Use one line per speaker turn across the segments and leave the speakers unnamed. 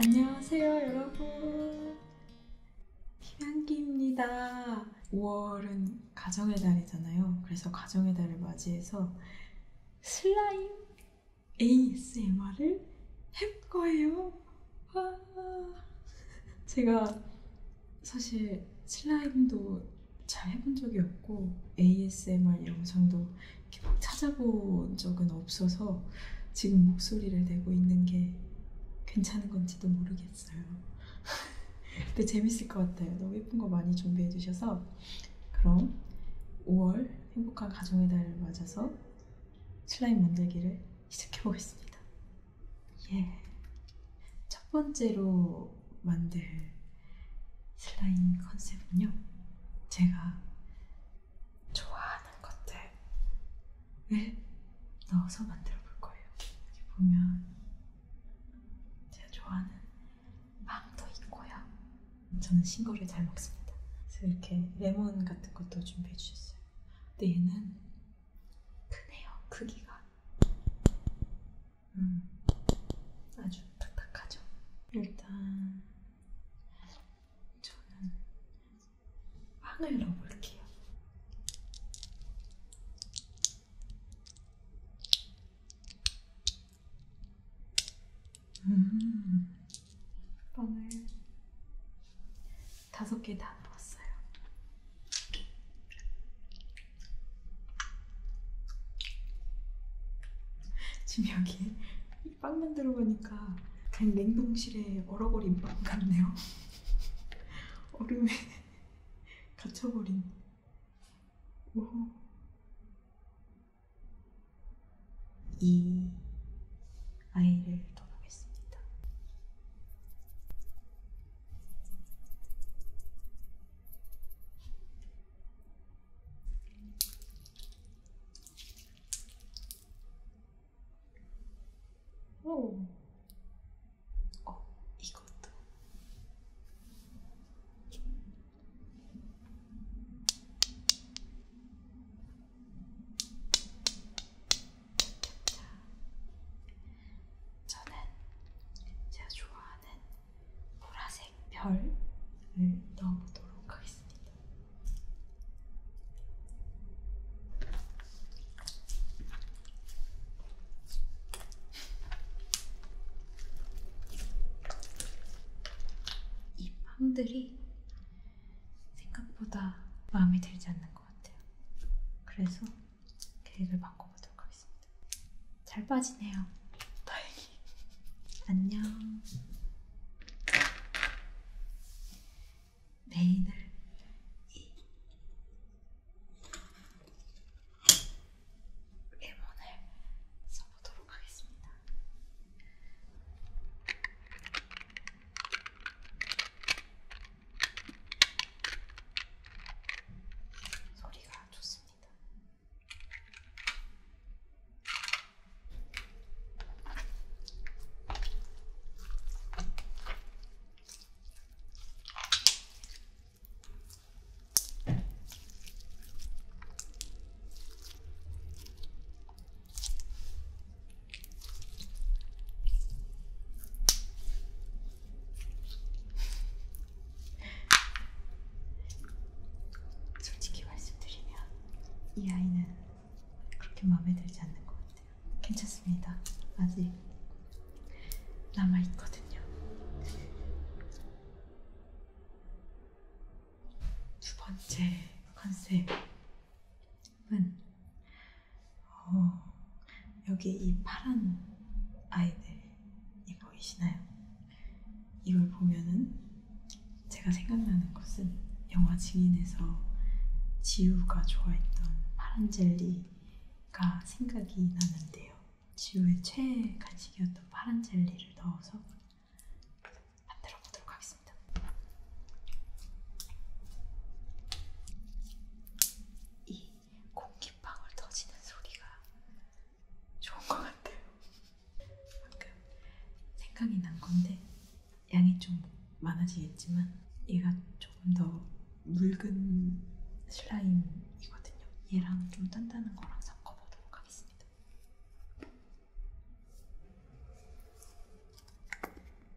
안녕하세요 여러분 김양기입니다 5월은 가정의 달이잖아요 그래서 가정의 달을 맞이해서 슬라임 ASMR을 해볼 거예요 와. 아. 제가 사실 슬라임도 잘 해본 적이 없고 ASMR 영상도 이렇게 막 찾아본 적은 없어서 지금 목소리를 내고 있는 게 괜찮은 건지도 모르겠어요. 근데 재밌을 것 같아요. 너무 예쁜 거 많이 준비해 주셔서 그럼 5월 행복한 가정의 달을 맞아서 슬라임 만들기를 시작해 보겠습니다. 예. 첫 번째로 만들 슬라임 컨셉은요. 제가 좋아하는 것들을 넣어서 만들어 볼 거예요. 여기 보면 제가 좋아하는 망도 있고요. 저는 신 거를 잘 먹습니다. 그래서 이렇게 레몬 같은 것도 준비해 주셨어요. 근데 얘는 크네요. 크기가. 음. 아주 딱딱하죠. 일단 저는 빵을 넣어볼게요. 음. 빵을 다섯 개 다 넣었어요. 지금 여기 빵만 들어가니까 그냥 냉동실에 얼어버린 빵 같네요. 얼음에 갇혀버린. 오. 이 아이를 돌보겠습니다. 오, 어, 이것도. 자, 저는 제가 좋아하는 보라색 별을 넣어보도록 하겠습니다. 이 빵들이 생각보다 마음에 들지 않는 것 같아요. 그래서 계획을 바꿔보도록 하겠습니다. 잘 빠지네요. 다행히. 안녕. 메인을 소리가 좋습니다. 솔직히 말씀드리면 이 아이는 그렇게 마음에 들지 않는 것 같아요. 괜찮습니다. 아직 남아 있거든요. 두 번째 컨셉 은 음. 어, 여기 이 파란 아이들이 보이시나요? 이걸 보면은 제가 생각나는 것은 영화 증인에서 지우가 좋아했던 파란 젤리가 생각이 나는데요. 지우의 최애 간식이었던 파란 젤리를 넣어서 만들어 보도록 하겠습니다. 이 공기방울 터지는 소리가 좋은 것 같아요. 방금 생각이 난 건데 양이 좀 많아지겠지만 얘가 조금 더 묽은 슬라임이거든요. 얘랑 좀 단단한 거랑 섞어보도록 하겠습니다.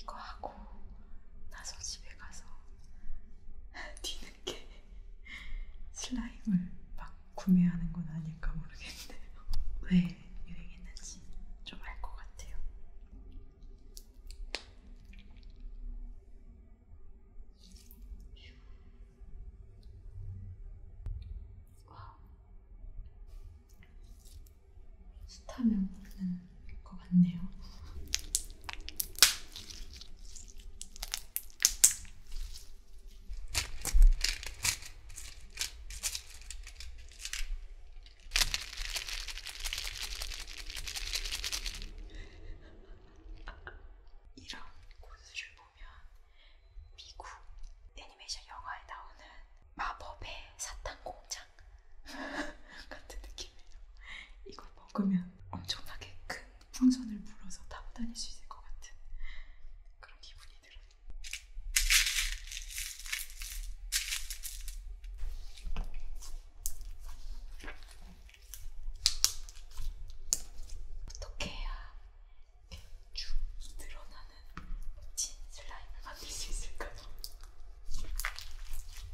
이거 하고 나서 집에 가서 뒤늦게 슬라임을 막 구매하는 건 아닐까 모르겠네요. 왜 유행했는지 좀 알 것 같아요. 휴. 스타면 먹는 것 같네요. 이런 고수를 보면 미국 애니메이션 영화에 나오는 마법의 사탕 공장 같은 느낌이에요. 이걸 먹으면 엄청나게 큰 풍선을 불어서 타고 다닐 수 있을 것 같은 그런 기분이 들어요. 어떻게 해야 이렇게 쭉 늘어나는 멋진 슬라임을 만들 수 있을까요? 쭉 늘어나라.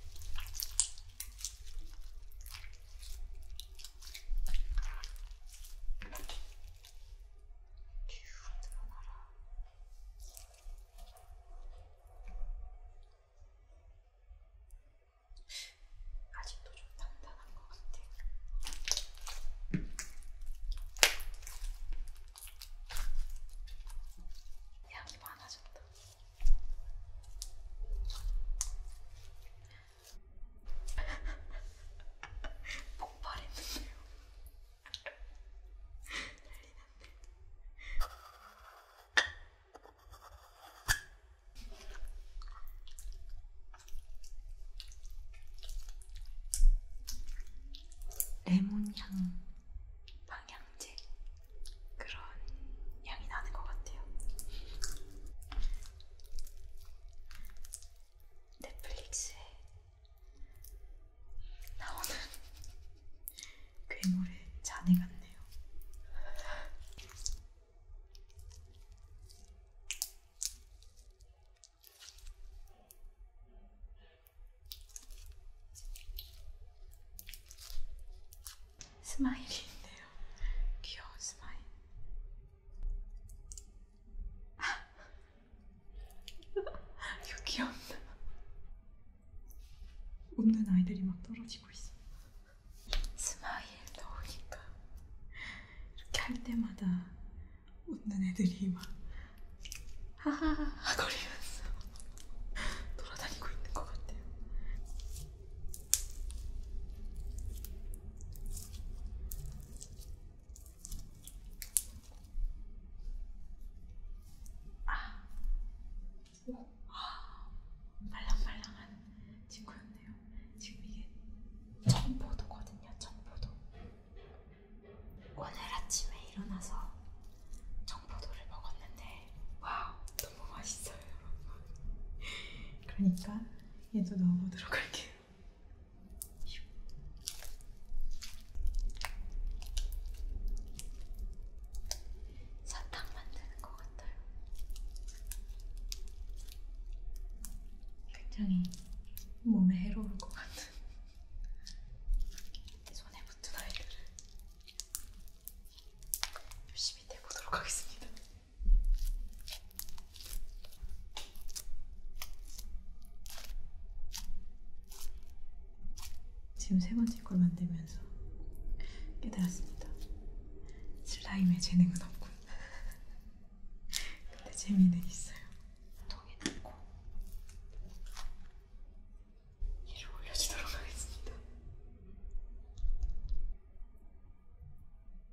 아직도 좀 단다. 대단한 것 같아요. 향이 많아졌다. 폭발했는데요. 난리났네. 레몬향 방향제 그런 향이 나는 것 같아요. 넷플릭스에 나오는 괴물의 잔해 같네요. 스마일이 있네요. 귀여운 스마일. 아! 이거 귀엽다. 웃는 아이들이 막 떨어지고 있어. 스마일 넣으니까 이렇게 할 때마다 웃는 애들이 막 하하하 거리면서 돌아다니고 있는 것 같아요. 아, 오, 아, 말랑말랑한 친구였네. 괜찮네요. 지금 이게 청포도거든요. 어? 청포도. 오늘 아침에 일어나서 청포도를 먹었는데 와우 너무 맛있어요, 여러분. 그러니까 얘도 넣어보도록 할게요. 사탕 만드는 것 같아요. 굉장히 몸에 해로울 것 같은 손에 붙은 아이들을 열심히 내보도록 하겠습니다. 지금 세 번째 걸 만들면서 깨달았습니다. 슬라임의 재능은 없군. 근데 재미는 있어요. 통에 넣고 얘를 올려주도록 하겠습니다.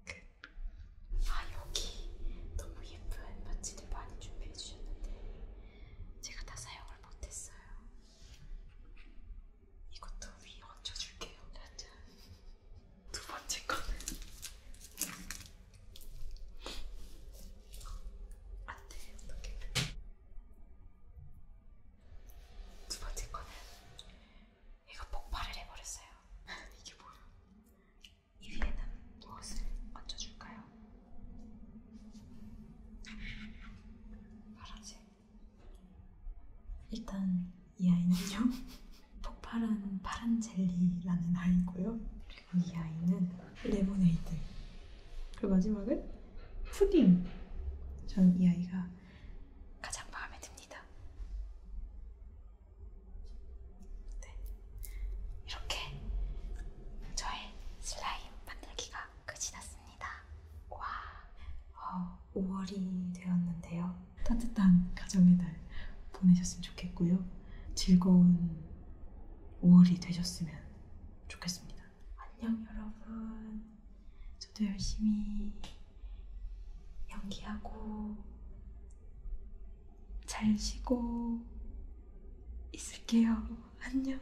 그, 아 여기 너무 예쁜 반지들 많이 준비해 주셨는데 제가 다 사용을 못했어요. 이것도 위 얹어줄게요. 짜잔. 두 번째 거는 안 아, 돼, 네, 어떻게. 두 번째 거는 얘가 폭발을 해버렸어요. 이게 뭐야? 이 위에는 무엇을 얹어줄까요? 파란색. 일단 이 아이는요. 폭발한 파란 젤리라는 아이고요. 그리고 이 아이는 레모네이드. 그리고 마지막은 푸딩. 저는 이 아이가 가장 마음에 듭니다. 네. 이렇게 저의 슬라임 만들기가 끝이 났습니다. 와, 어, 5월이 되었는데요. 따뜻한 가정의 날 보내셨으면 좋겠고요. 즐거운 5월이 되셨으면 좋겠습니다. 안녕 여러분. 저도 열심히 연기하고 잘 쉬고 있을게요. 안녕.